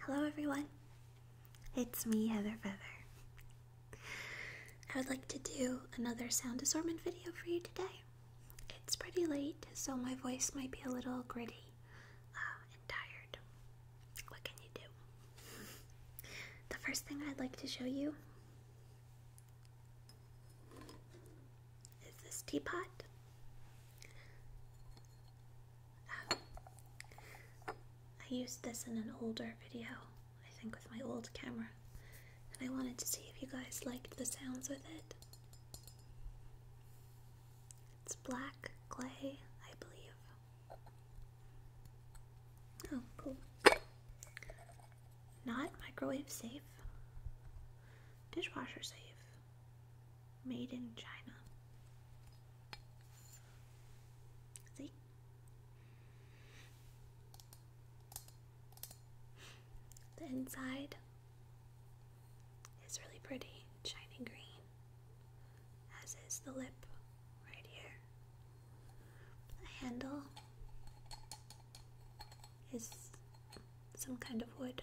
Hello, everyone. It's me, Heather Feather. I would like to do another sound assortment video for you today. It's pretty late, so my voice might be a little gritty uh, and tired. What can you do? the first thing I'd like to show you is this teapot. Um, I used this in an older video, I think, with my old camera, and I wanted to see if you guys liked the sounds with it. It's black clay, I believe. Oh, cool. Not microwave safe, dishwasher safe made in China. See? The inside is really pretty, shiny green, as is the lip right here. The handle is some kind of wood.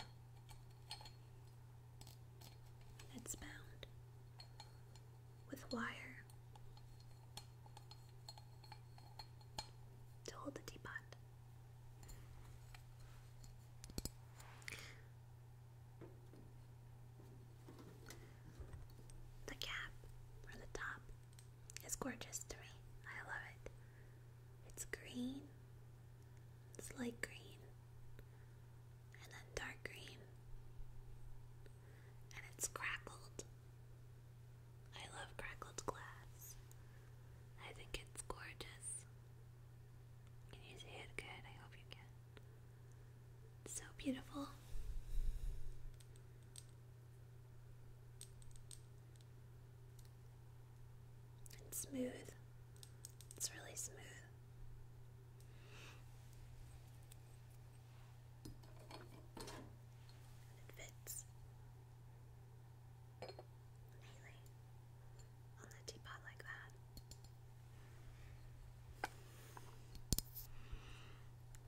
It's bound with wire to hold the teapot. The cap or the top is gorgeous to me. I love it. It's green, it's light green, and then dark green, and it's crackled. I love crackled glass. I think it's gorgeous. Can you see it good? I hope you can. It's so beautiful. It's smooth. It's really smooth. And it fits neatly on the teapot like that.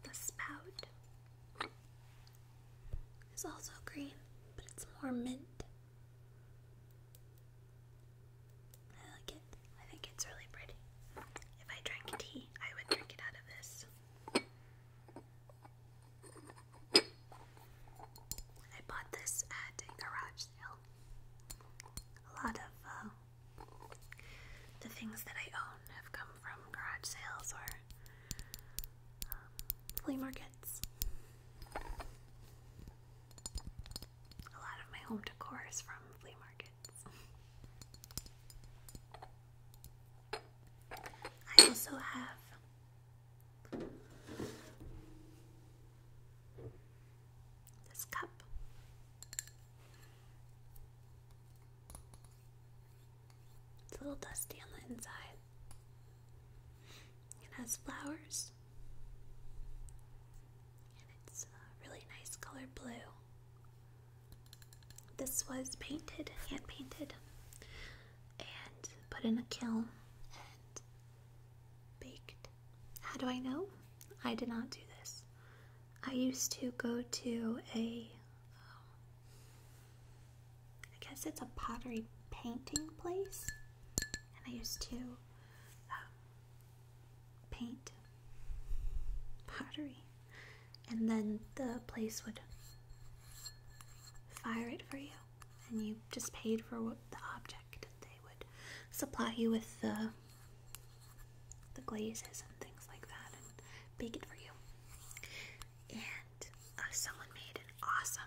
The spout is also green, but it's more mint. I like it. I think it's really pretty. If I drank tea, I would drink it out of this. I bought this at a garage sale. A lot of uh, the things that I own have come from garage sales or um, flea markets. A lot of my home decor is from flea markets. I also have this cup. It's a little dusty on the inside. It has flowers, and it's a really nice color blue. This was painted, hand painted, and put in a kiln and baked. How do I know? I did not do this. I used to go to a um, I guess it's a pottery painting place. And I used to um, paint, pottery, and then the place would fire it for you, and you just paid for the object, and they would supply you with the the glazes and things like that, and bake it for you. And uh, someone made an awesome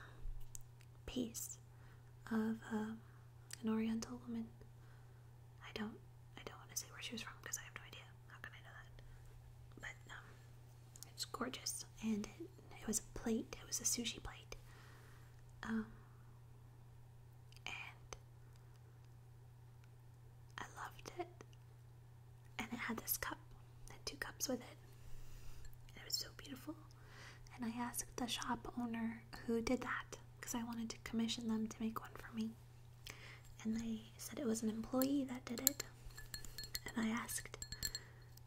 piece of um, an Oriental woman. I don't, I don't want to say where she was from because I have no idea. How can I know that? But um, it's gorgeous, and it, was a plate. It was a sushi plate. Um, and I loved it. And it had this cup, and two cups with it. And it was so beautiful. And I asked the shop owner who did that because I wanted to commission them to make one for me. And they said it was an employee that did it. And I asked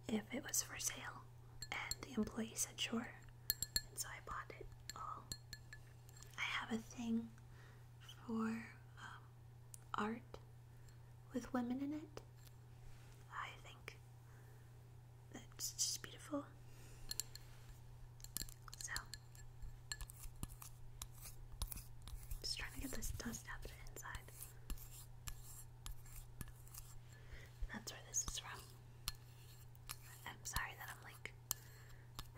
if it was for sale. And the employee said sure. And so I bought it I have a thing for um, art with women in it. I think it's just beautiful. So, just trying to get this dust out of the inside. That's where this is from. I'm sorry that I'm like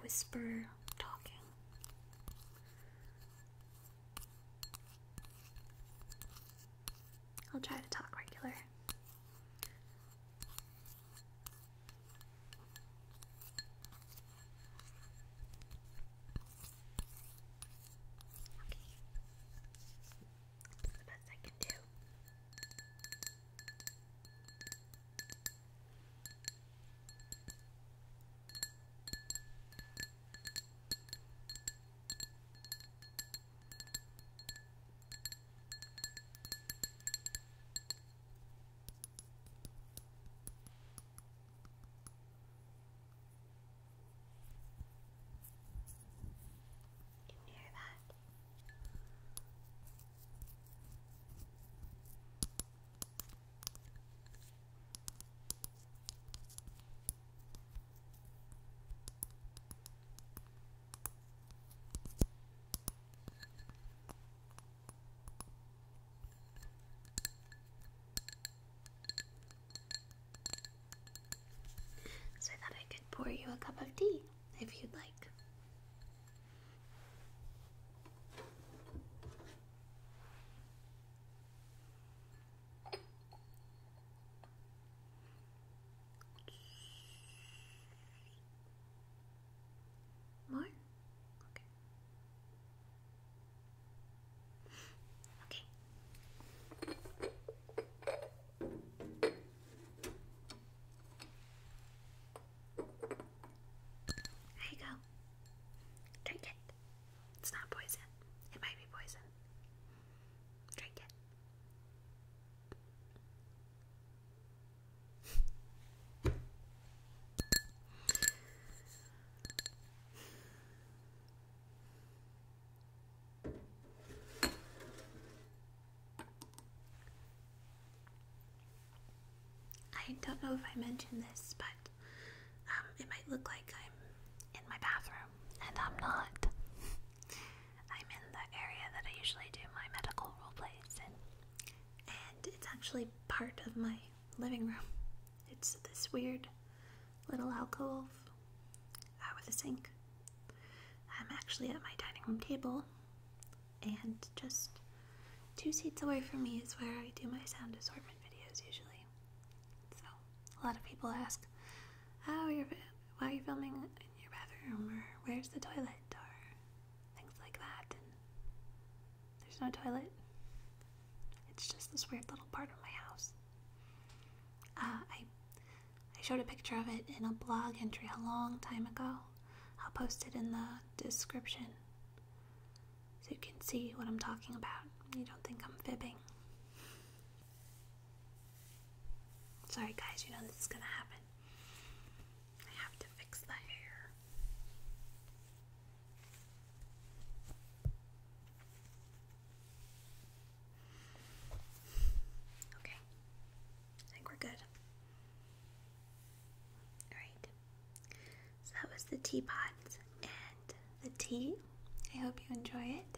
whisper talking. I'll try to talk regular. That's the best I can do. Okay. Can you hear that? All so that I could pour you a cup of tea if you'd like. More? Okay. Okay. There you go. Drink it. It's not poison. It might be poison. Drink it. I don't know if I mentioned this, but um, it might look like I'm in my bathroom, and I'm not. I'm in the area that I usually do my medical role plays and it's actually part of my living room. It's this weird little alcove uh, with a sink. I'm actually at my dining room table, and just two seats away from me is where I do my sound assortment videos usually. So, a lot of people ask, How are you?" why are you filming in your bathroom? Or where's the toilet? Or things like that. there's no toilet. It's just this weird little part of my house. Uh, I I showed a picture of it in a blog entry a long time ago. I'll post it in the description so you can see what I'm talking about. You don't think I'm fibbing. Sorry, guys, you know this is gonna happen. I have to fix the hair. Okay, I think we're good. Alright, so that was the teapot and the tea. I hope you enjoy it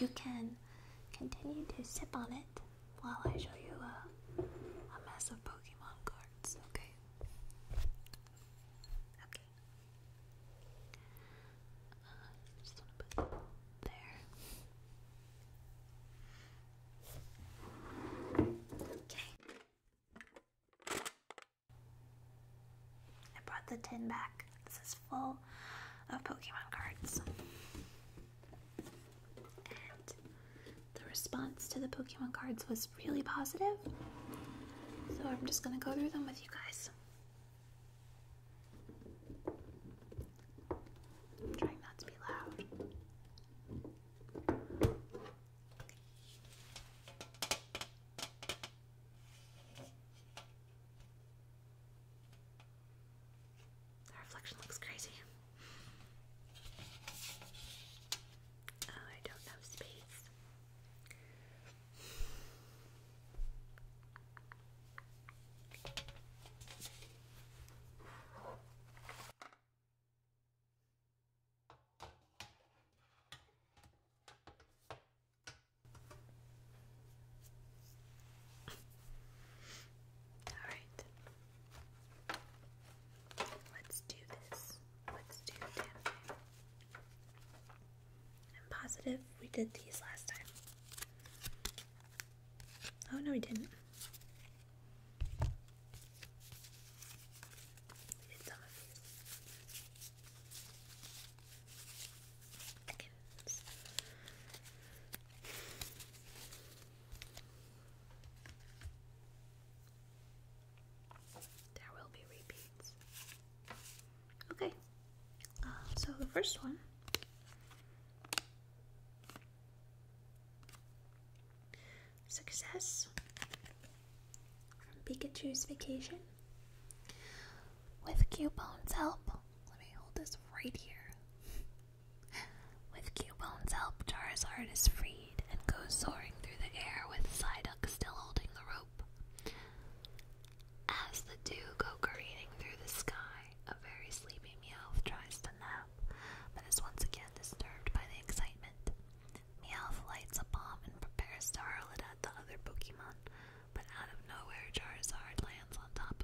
you can continue to sip on it while I show you a, a mess of Pokemon cards, okay? Okay. Uh, just wanna put there. Okay. I brought the tin back. This is full of Pokemon cards the response to the Pokemon cards was really positive. So I'm just going to go through them with you guys. trying not to be loud. The reflection looks crazy. Oh, I don't know space. Alright. Let's do this. Let's do the I'm positive we did these last time. Oh, no, we didn't. We did some of these. There will be repeats. Okay, um, so the first one Success from Pikachu's Vacation with Coupon's help. Let me hold this right here. With Cubone's help, Charizard is freed and goes soaring through the air with Psyduck still holding the rope. As the two go careening through the sky, a very sleepy Meowth tries to nap, but is once again disturbed by the excitement. Meowth lights a bomb and prepares to hurl it at the other Pokemon, but out of nowhere Charizard lands on top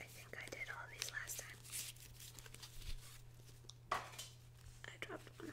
I think I did all these last time. I dropped one.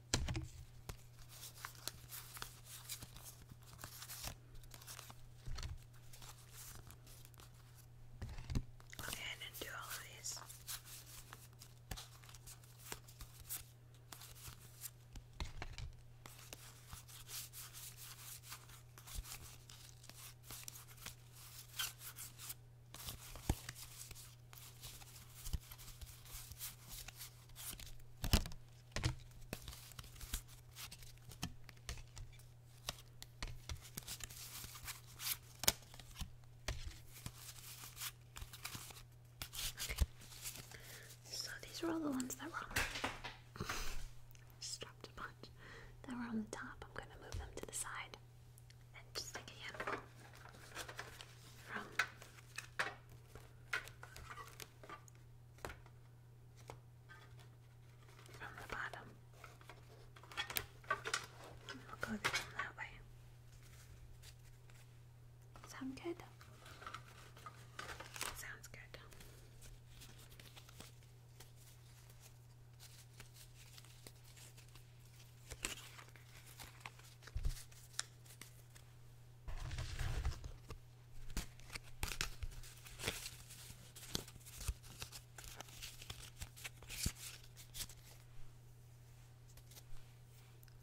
Okay, I didn't do all of these. So these are all the ones that were on dropped a bunch. That were on the top. I'm gonna move them to the side. And just take a from the bottom. And will go down that way. Sound good? Sounds good.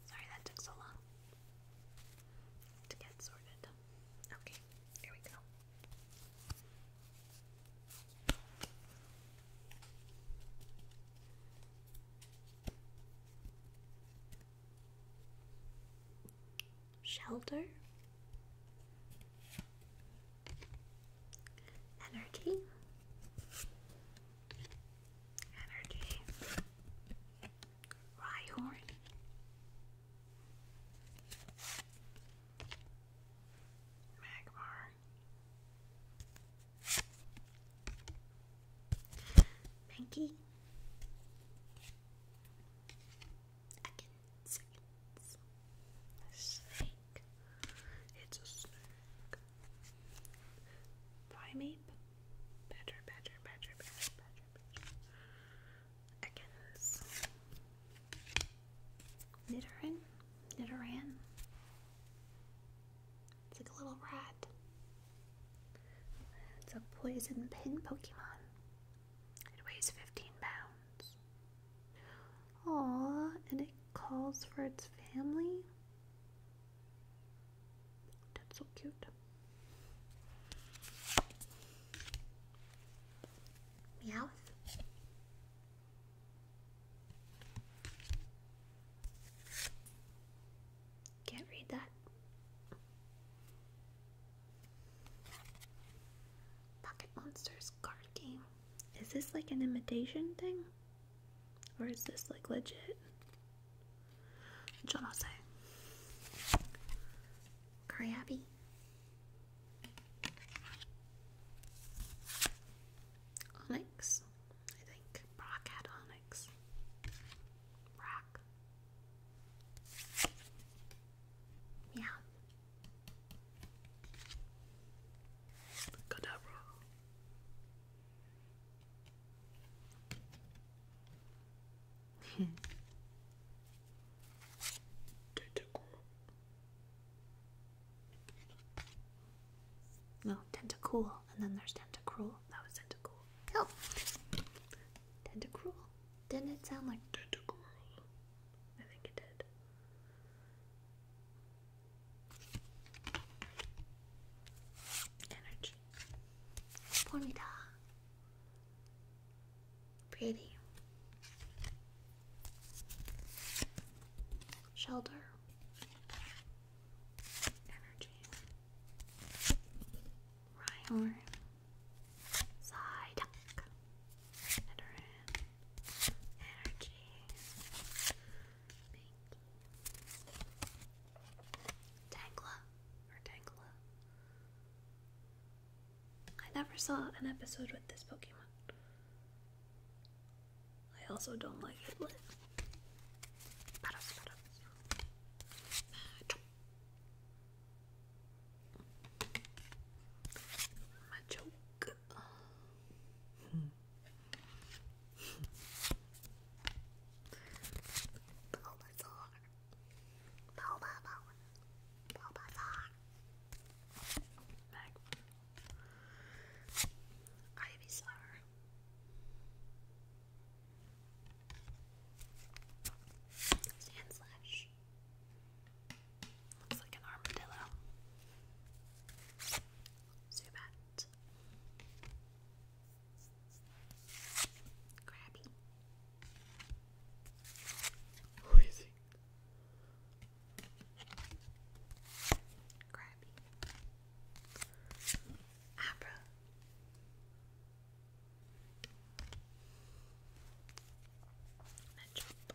Sorry that took so long to get sorted. Okay, here we go shelter, energy, energy, Rhyhorn. Magmar Pinky. Again, seconds. snake. It's a snake. Primate. Better, better, better, better, better, better. Nidoran. Nidoran. It's like a little rat. It's a poison pin Pokemon. It weighs 15 pounds. Aww, and it calls for its family? That's so cute. Meowth. Can't read that. Pocket Monsters card game. Is this like an imitation thing? Or is this like legit? Jonose. Krabby. Onyx, I think. Brock had Onyx back. Yeah. Kadabra. Tentacool. No, tentacool, and then there's tentacruel tentacle. That was tentacle. No. Oh. Tentacruel. Didn't it sound like tentacool? I think it did. Energy. Bonita. Pretty. Shelter. Energy. Rhyhorn, Psyduck, Veteran, Energy, Pinky, or Tangla. I never saw an episode with this Pokemon. I also don't like it. My joke. 跑吧走，跑吧跑，跑吧走。Meg, Ivysaur, Sand slash. Looks like an armadillo. Zubat. Crabby. Lazy. Crabby. Abra. And jump.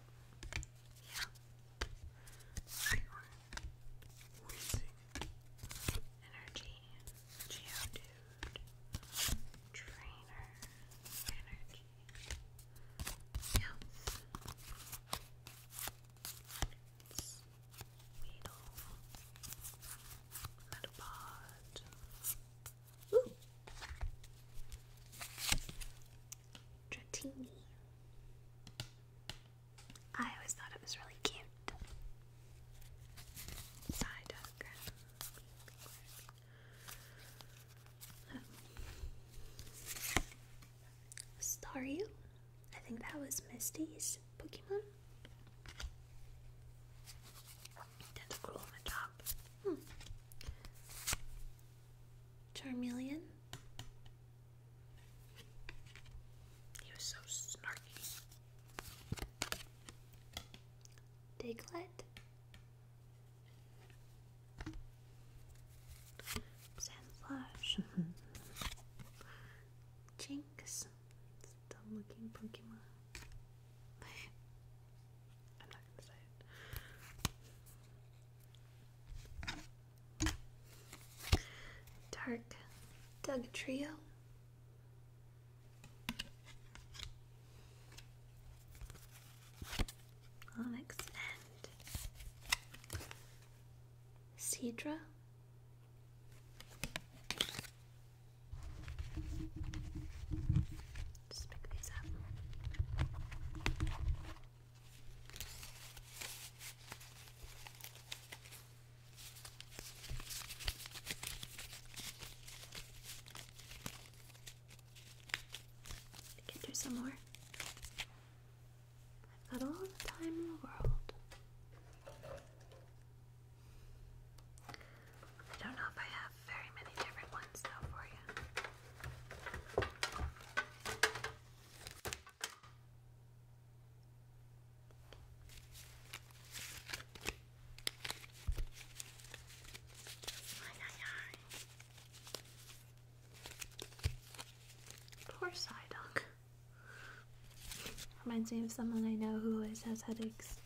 Yeah. We are losing energy. Geodude. Trainer. Energy. Health. Weedle little Ooh. Dratini. I always thought it was really cute. Side diagram. I think that was Misty's Pokemon. Tentacruel on hmm. He was so snarky. Diglett. Sandflash. Mm-hmm. Jinx dumb looking Pokemon. Dark Doug Trio. Onyx just pick these up. can do some more. I've got all the time in the world. I don't know if I have very many different ones though for you. Poor Psyduck. Reminds me of someone I know who always has headaches.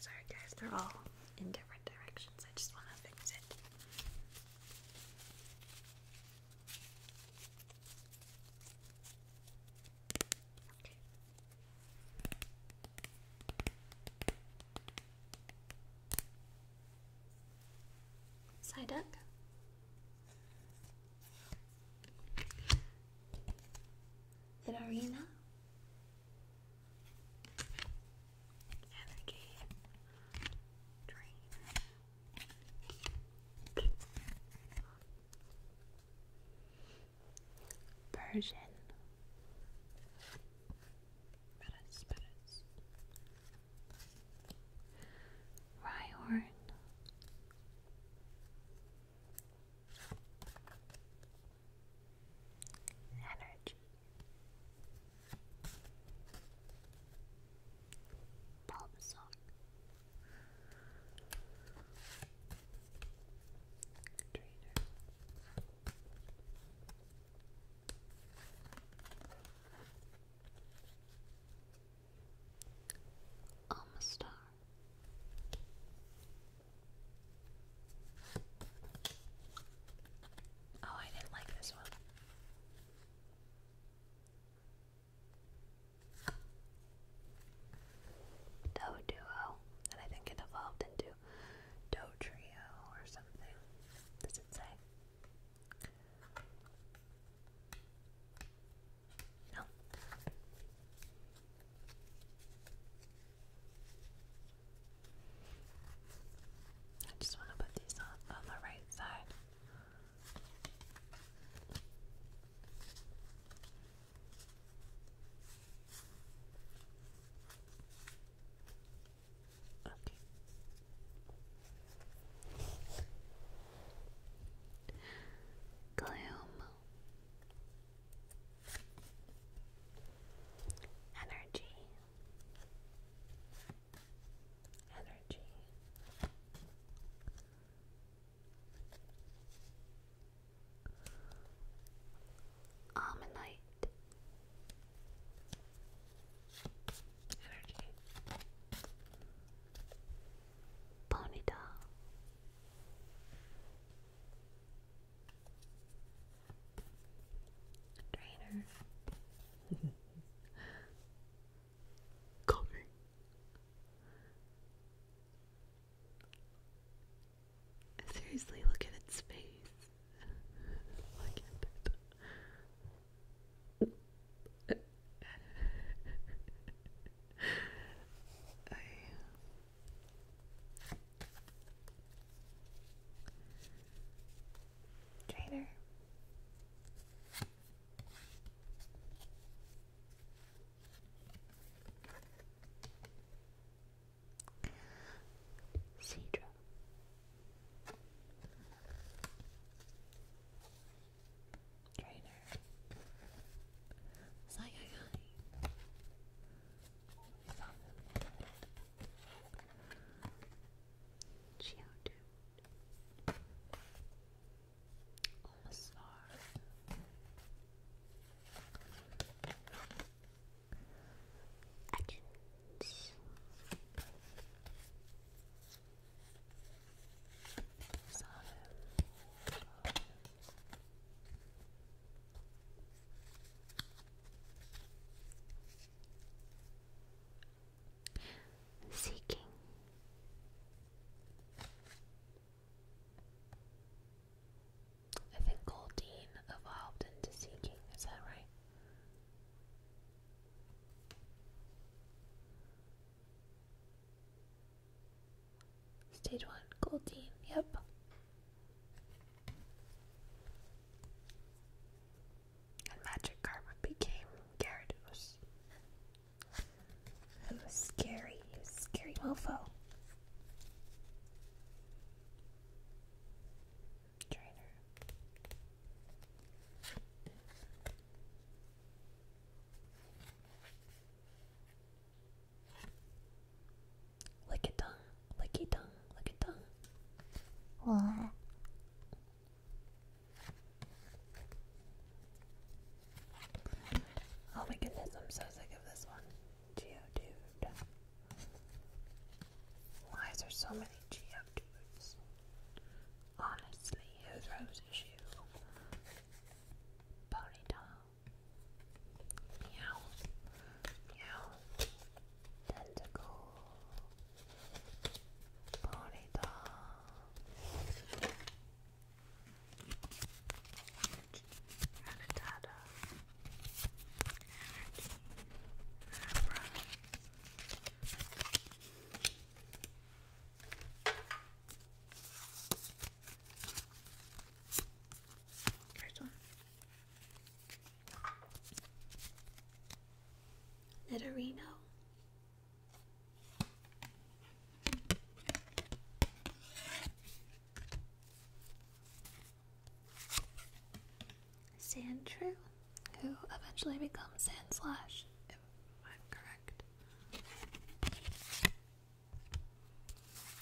Sorry, guys, they're all in different directions. I just want to fix it. Okay. Side up. Arena. Energy. Drain. Persian. Paris, Paris. Energy. Palm Trainer. Oh, I didn't like this one. Doe Duo, and I think it evolved into Doe Trio or something. Does it say? No. I just want to put these on on the right side. Okay. Gloom. Energy. Energy. Ammonite energy Ponyta Trainer Coffee Seriously, look at its face. look at it. I Cedra. Trainer. Psycho guy almost are. Actions. Seeking I think Goldeen evolved into Sea King, is that right? Stage one, Goldeen, yep. And Magic Karma became Gyarados. You scary, you scary mofo. Trainer. Lick it tongue, lick it tongue, lick it tongue. What? Oh my goodness, I'm so sick of this one. Geodude. Why is there so many Geodudes? Honestly, who throws a shoe? Ponytail. Meow. Meow. Tentacle. Ponytail. Rattata, Anarchy, Abra. First one. Nidorino. Sand who eventually becomes Sand Slash, if i correct.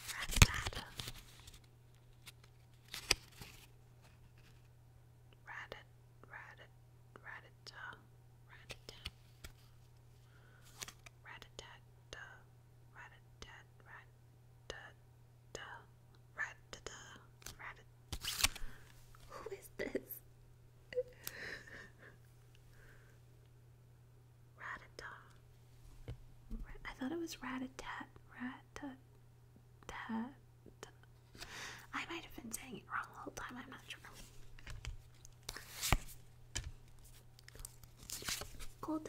Ratata. Ratat, ratat, ratata, ratata. rat who is this? Ratata. I thought it was rat-a-tat. rat tat I might have been saying it wrong the whole time. I'm not sure. Cold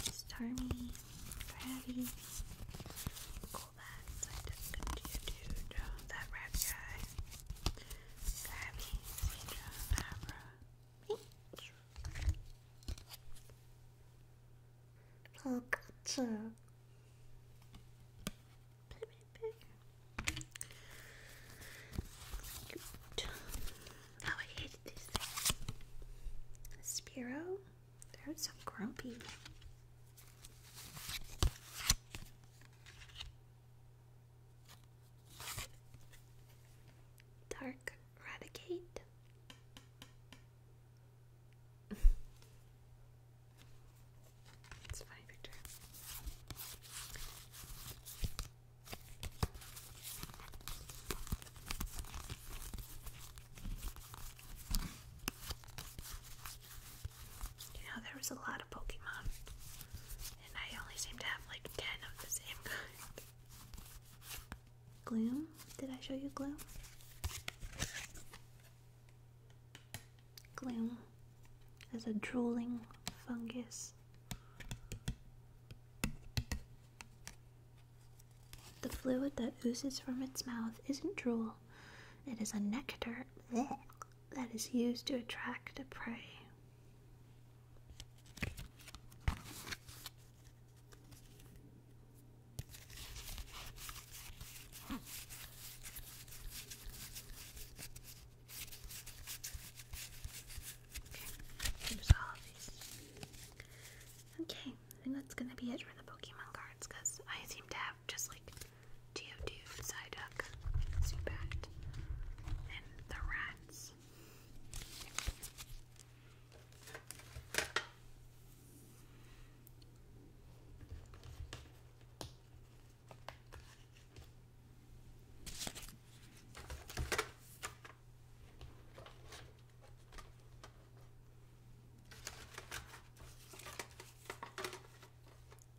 Stormy, Crabby, cool bats. I just did you, dude. Uh, that red guy. Crabby, Cedra, Abra, Peach. Pikachu. Cute. Oh, I hated this thing. Spiro. There's some grumpy. Dark Radicate. it's funny picture. You know, there was a lot of Pokemon, and I only seem to have like 10 of the same kind. Gloom? Did I show you Gloom? Gloom is a drooling fungus. The fluid that oozes from its mouth isn't drool, it is a nectar that is used to attract a prey. Okay, I think that's gonna be it for the Pokemon cards because I seem to have just like Geodude, Psyduck, Zubat, and the rats.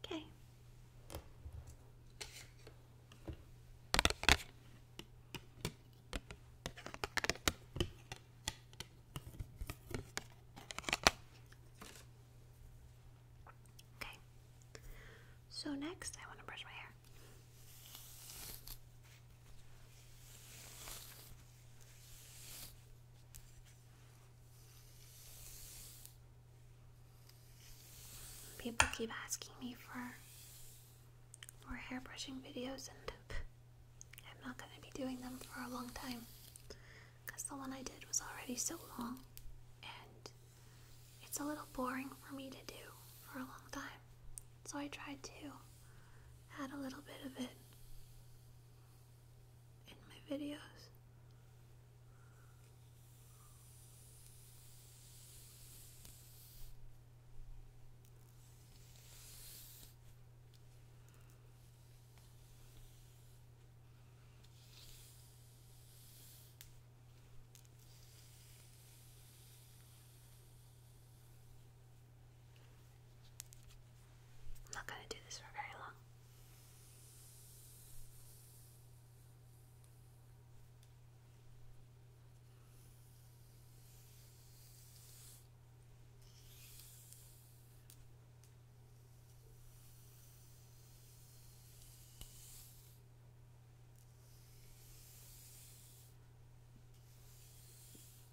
Okay. Okay. So next I want to brush my hair. People keep asking me for for hairbrushing videos, and I'm not gonna be doing them for a long time because the one I did was already so long, and it's a little boring for me to do for a long time. So I tried to add a little bit of it in my videos. I'm not going to do this for very long.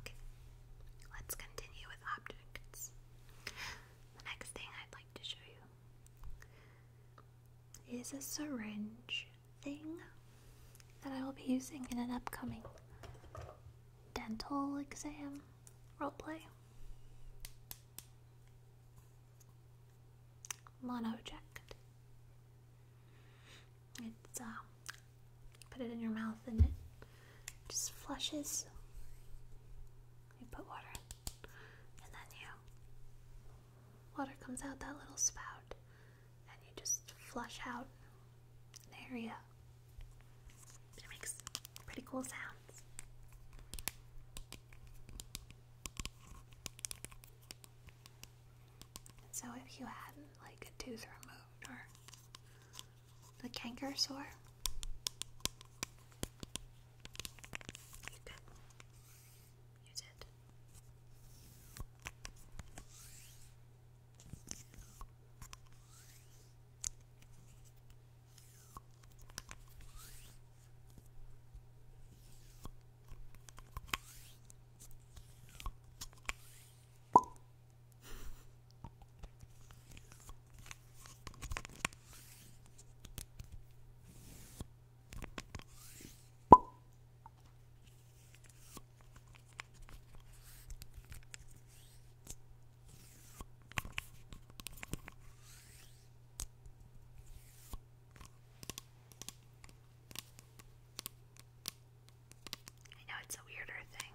Okay, let's continue with objects. The next thing I'd like to show you is a syringe thing that I will be using in an upcoming dental exam role play. checked. It's uh, Put it in your mouth and it just flushes. You put water and then you. Water comes out that little spout, and you just flush out an area. It makes pretty cool sounds. so, if you had like a tooth removed or the canker You did. I know it's a weirder thing.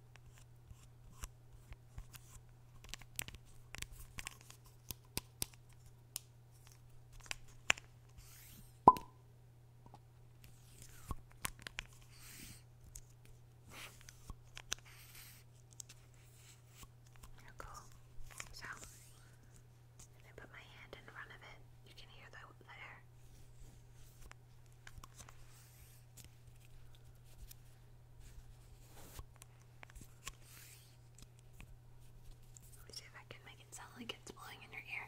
Oh, So, I put my hand in front of it, you can hear the, the let me see if I can make it sound like it's blowing in your ear.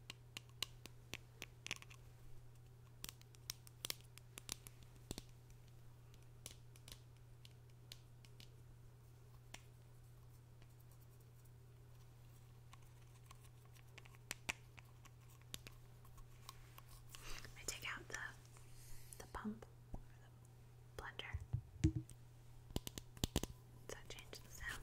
I take out the the pump or the blender. Does that change the sound?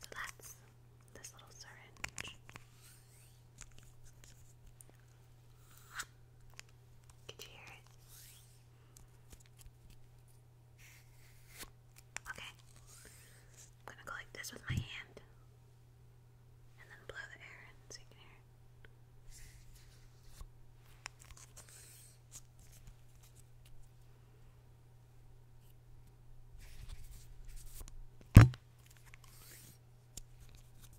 So that's this little syringe. Could you hear it? Okay. I'm gonna go like this with my hand. And then blow the air in so you can hear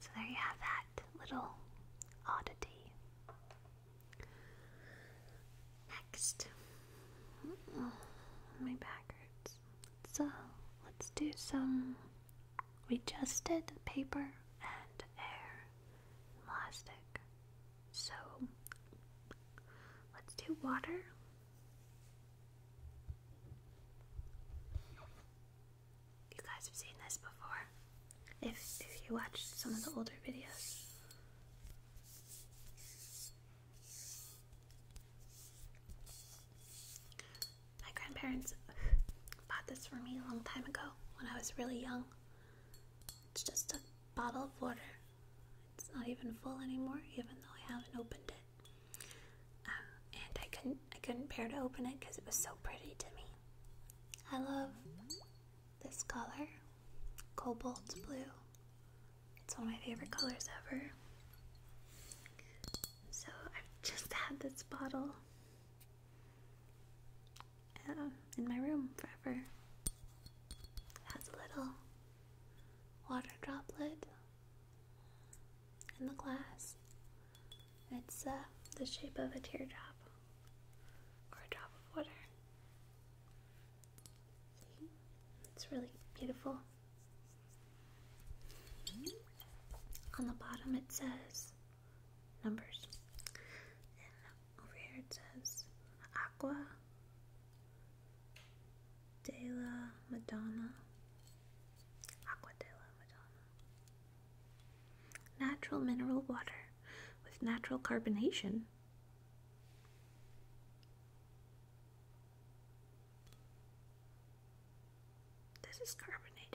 So there you have that little oddity. Next, my back So let's do some We just did paper and air plastic. So let's do water. You guys have seen this before. If, if you watched some of the older videos. My grandparents bought this for me a long time ago when I was really young. It's just a bottle of water. It's not even full anymore, even though I haven't opened it. Um, and I couldn't I couldn't bear to open it because it was so pretty to me. I love this color, cobalt blue. It's one of my favorite colors ever. So I've just had this bottle um, in my room forever. It has a little water droplet in the glass. It's uh, the shape of a teardrop or a drop of water. It's really beautiful. On the bottom it says numbers. And over here it says Aqua de la Madonna. Aqua de la Madonna. Natural mineral water with natural carbonation. This is carbonated.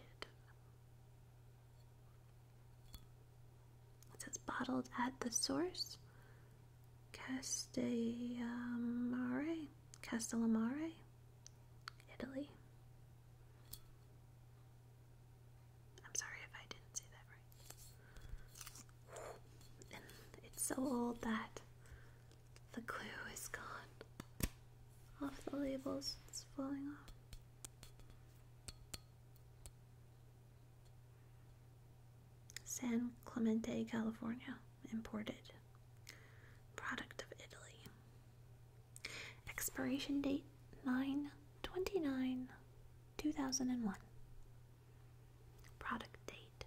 It says bottled at the source. Castellamare. Castellamare. Italy. I'm sorry if I didn't say that right. it's so old that the clue is gone off the labels, it's falling off. San Clemente, California, imported. Product of Italy. Expiration date nine twenty nine, 2001. Product date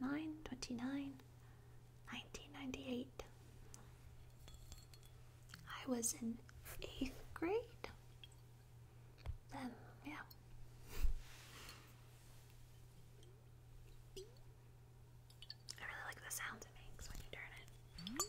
9 1998. I was in eighth grade. Then, yeah. I really like the sounds it makes when you turn it. Mm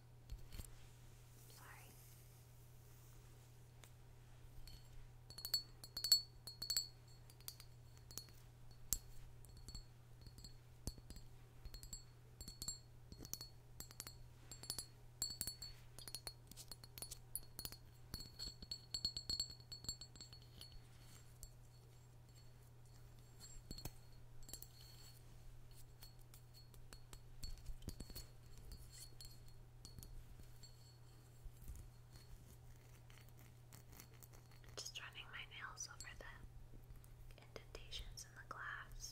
Sorry. Okay. Just running my nails over the indentations in the glass.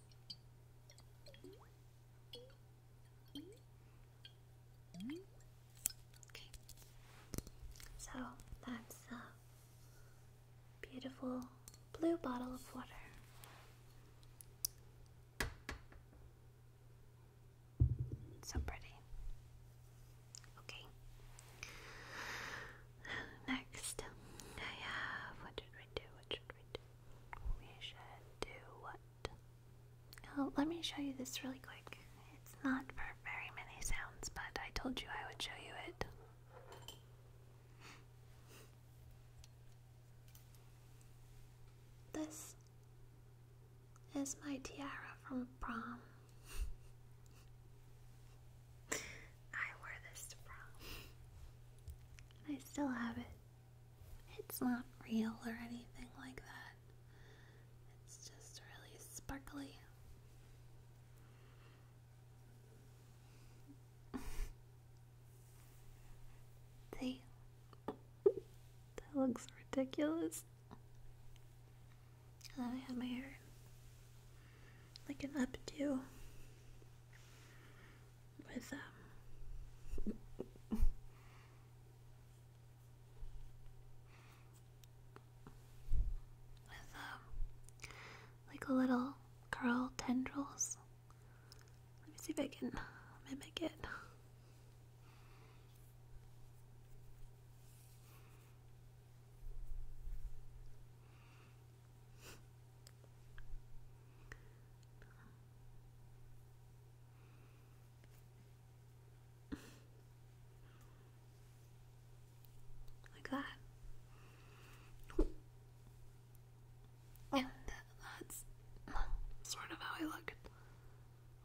So that's a beautiful blue bottle of water. So pretty. Okay. Next, I have. What did we do? we should do what? let me show you this really quick. It's not for very many sounds, but I told you I would show you it. This is my tiara from prom. I wore this to I still have it. It's not real or anything like that. It's just really sparkly. See? That looks ridiculous. And then have my hair like an updo with um with um like little curl tendrils. Let me see if I can mimic it like that. And that's sort of how I looked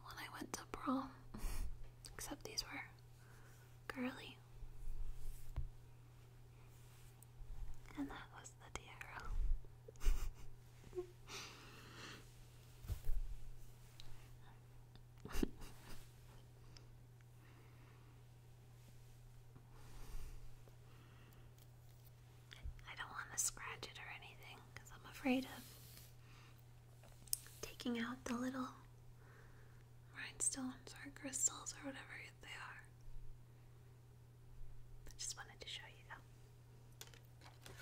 when I went to prom. Except these were girly. And that was the DRL. I don't want to scratch it or anything because I'm afraid of taking out the little rhinestones or crystals or whatever they are. I just wanted to show you though.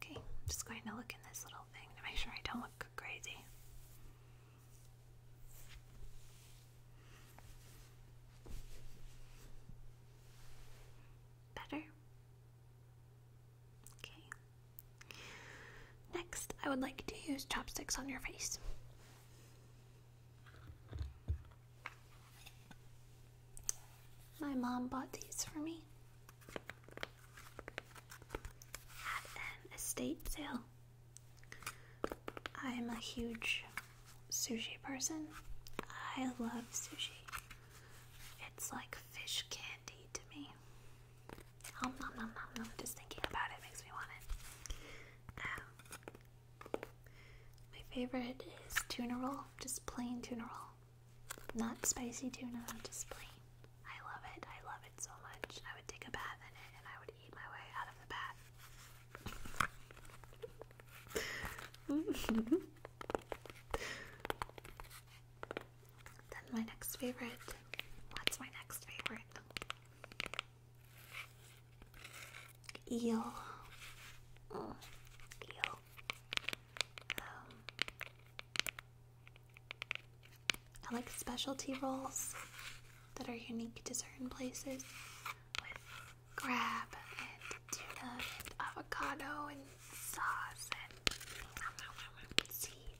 Okay, I'm just going to look in this little thing to make sure I don't look crazy. Better? Okay, Next, I would like to use chopsticks on your face. My mom bought these for me at an estate sale. I'm a huge sushi person. I love sushi. It's like fish candy to me. Just thinking about it makes me want it. Um, my favorite is tuna roll, just plain tuna roll. Not spicy tuna, just plain. I love it. I love it so much. I would take a bath in it and I would eat my way out of the bath. Then my next favorite. What's my next favorite? Eel. Mm, eel. Um, I like specialty rolls that are unique to certain places with crab and tuna and avocado and sauce and seaweed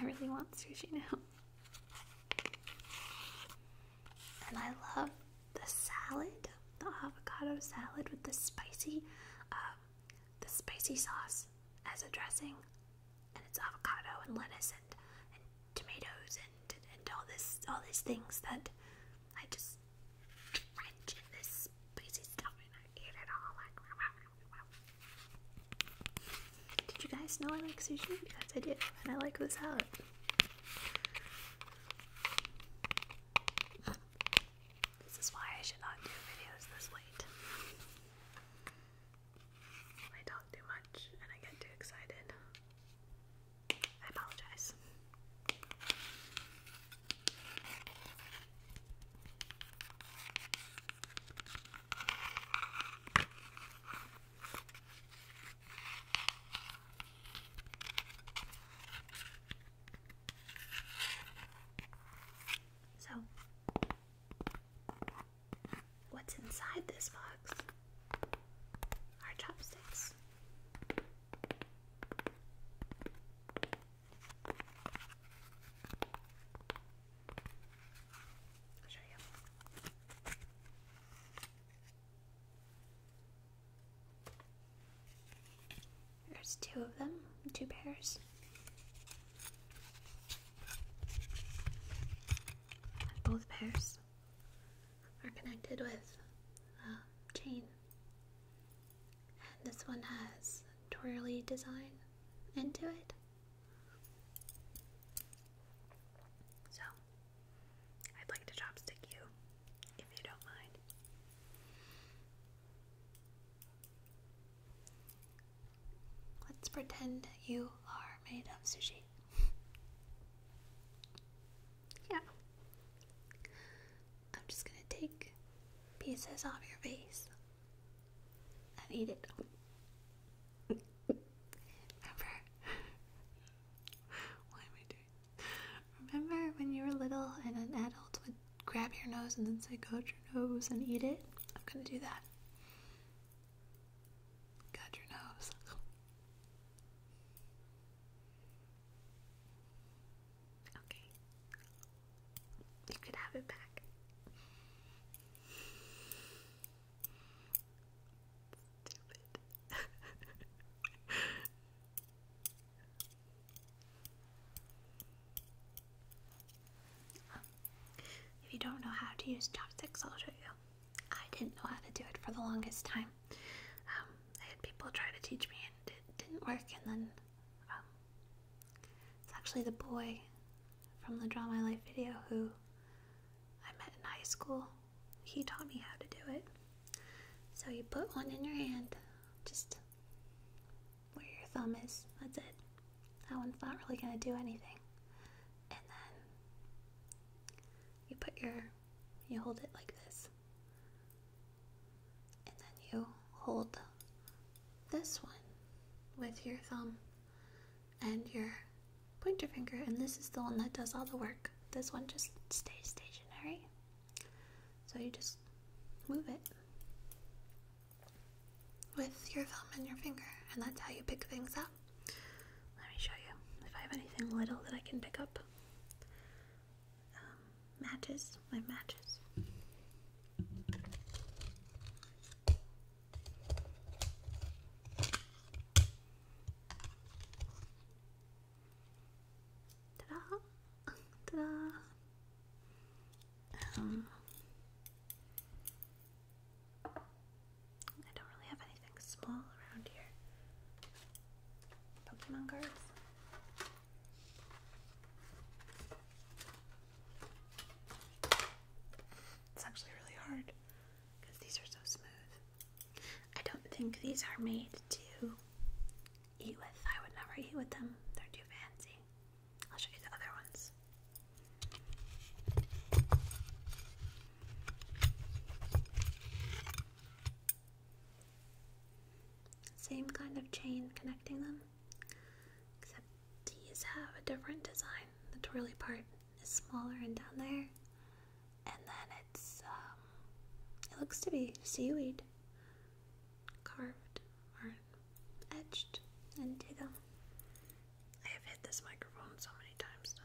I really want sushi now. And I love the salad, the avocado salad with the spicy, um, the spicy sauce as a dressing and it's avocado and lettuce and, and tomatoes and, and all this all these things that I just drench this spicy stuff and I eat it all Did you guys know I like sushi? Yes, I do and I like the salad. This is why I should not do videos this late. I talk too much and I get too excited. I apologize. So, What's inside this box? Our chopsticks. There's two of them, two pairs both pairs are connected with a um, chain. And this one has twirly design into it. So, I'd like to chopstick you, if you don't mind. Let's pretend you are made of sushi. yeah. I'm just gonna take pieces off your face and eat it. Remember? Why am I doing Remember when you were little and an adult would grab your nose and then say, Go to your nose and eat it? I'm gonna do that. Got your nose. Okay. You could have it back. Stupid. if you don't know how to use chopsticks, I'll show you. I didn't know how to do it for the longest time. Um, I had people try to teach me and it didn't work, and then um, it's actually the boy from the Draw My Life video who I met in high school. He taught me how to do it. So you put one in your hand, just where your thumb is, that's it. That one's not really going to do anything. And then you put your, you hold it like this. And then you hold this one with your thumb and your pointer finger. And this is the one that does all the work. This one just stays stationary. So you just move it with your thumb and your finger, and that's how you pick things up. Let me show you if I have anything little that I can pick up. Um, matches, my matches. Ta-da! Ta-da! Um, I don't really have anything small around here. Pokemon cards. It's actually really hard because these are so smooth. I don't think these are made to eat with. I would never eat with them. They're too fancy. I'll show you the other ones. Same kind of chain connecting them, except these have a different design. The twirly part is smaller and down there, and then it's, um, it looks to be seaweed carved or etched into them. I have hit this microphone so many times tonight.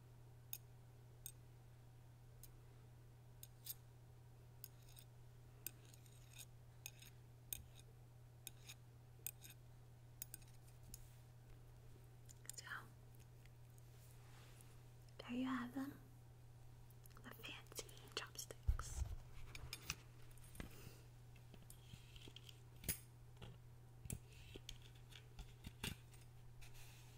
So there you have them, the fancy chopsticks.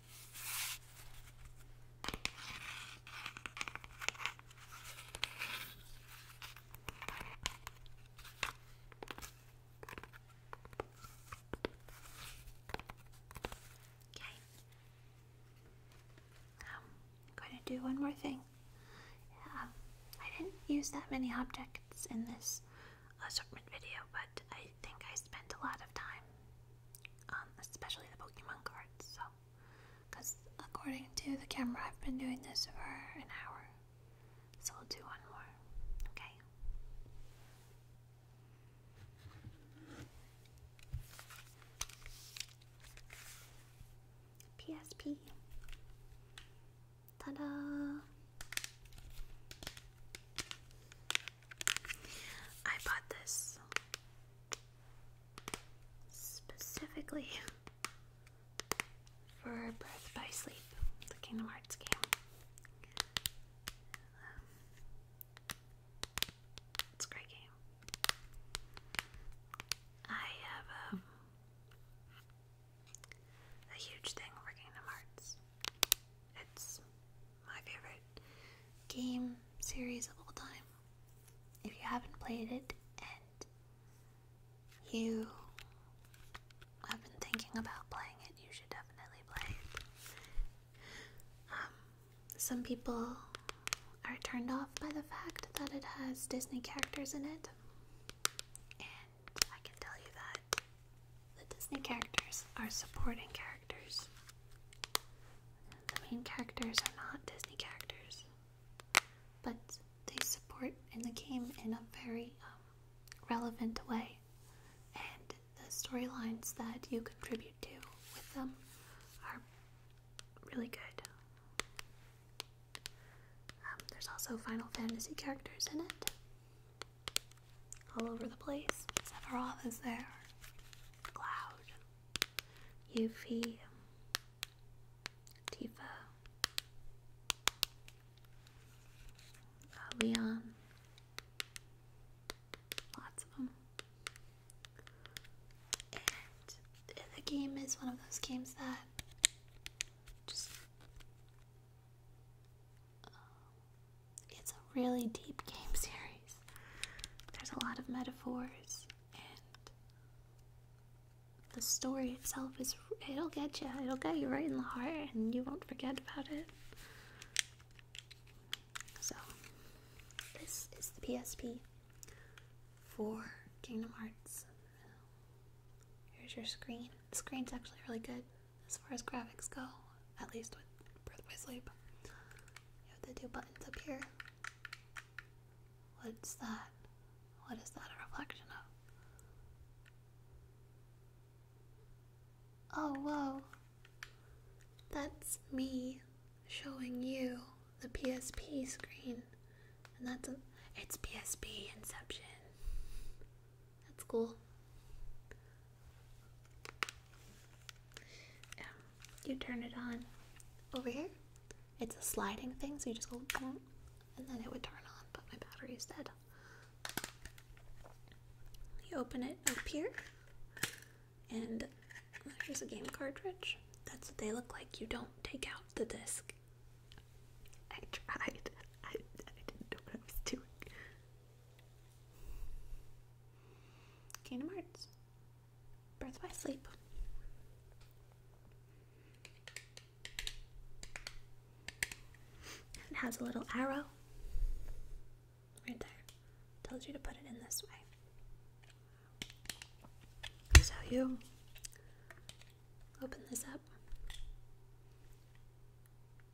Um, I'm going to do one more thing. Um, I didn't use that many objects in this assortment video, but I I think I spent a lot of time on um, especially the Pokemon cards, so because according to the camera, I've been doing this for an hour, so we'll do one more, okay? PSP. Ta da! I bought this specifically for Birth by Sleep, the Kingdom Hearts game. Um, it's a great game. I have um, a huge thing for Kingdom Hearts. It's my favorite game series of all time. If you haven't played it and you have been thinking about playing it, you should definitely play um, some people are turned off by the fact that it has Disney characters in it, and I can tell you that the Disney characters are supporting characters. The main characters are not Disney characters, but they support in the game in a very um, relevant way. And the storylines that you contribute to with them are really good. Um, there's also Final Fantasy characters in it all over the place. Sephiroth is there. Cloud. U.V. Tifa. Leon. Lots of them. And the game is one of those games that just um, it's a really deep game series. There's a lot of metaphors, and the story itself is it'll get you. It'll get you right in the heart, and you won't forget about it. So, this is the PSP for Kingdom Hearts. Here's your screen. The screen's actually really good as far as graphics go at least with Birth Sleep. You have the two buttons up here. What's that? What is that a reflection of? Oh, whoa. That's me showing you the PSP screen. And that's it's PSP Inception. That's cool. Um, you turn it on over here. It's a sliding thing, so you just go and then it would turn on, but my battery is dead. You open it up here, and there's a game cartridge. That's what they look like. You don't take out the disc. I tried. I didn't know what I was doing. Kingdom Hearts. Birth by Sleep. It has a little arrow right there. Tells you to put it in this way. So you open this up.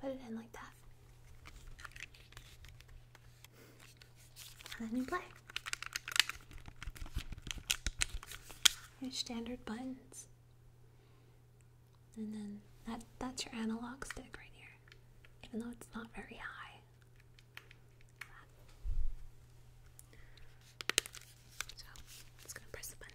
Put it in like that. And then you play. Your standard buttons. And then that that's your analog stick right here. Even though it's not very high. So it's gonna press the button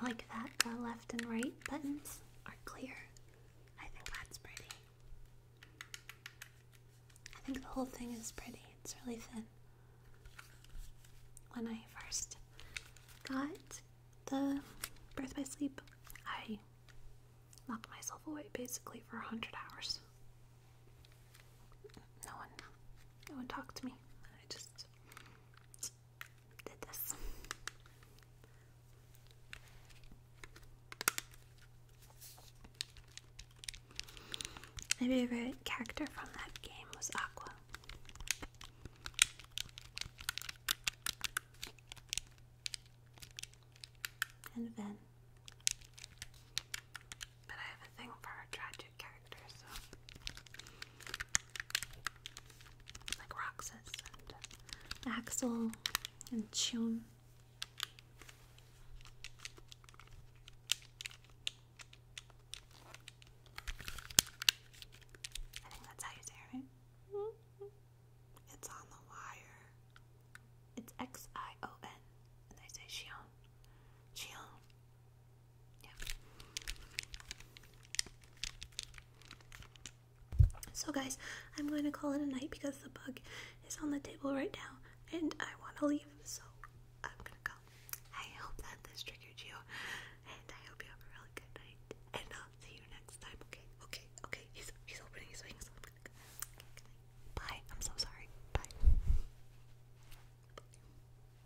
I like that the left and right buttons are clear. I think that's pretty. I think the whole thing is pretty. It's really thin. When I first got the Birth by Sleep, I locked myself away basically for 100 hours. No one, no one talked to me. I just did this. My favorite character from that game was Aqua. And Ven. But I have a thing for tragic characters, like Roxas and uh, Axel and Chun. I think that's how you say it, right? It's on the wire. It's X I O N. And they say Shion. Shion. So, guys, I'm going to call it a night because the bug is on the table right now and I want to leave, so I'm going to go. I hope that this triggered you, and I hope you have a really good night, and I'll see you next time, okay? Okay, okay. He's, he's opening his wings. I'm Bye. I'm so sorry. Bye.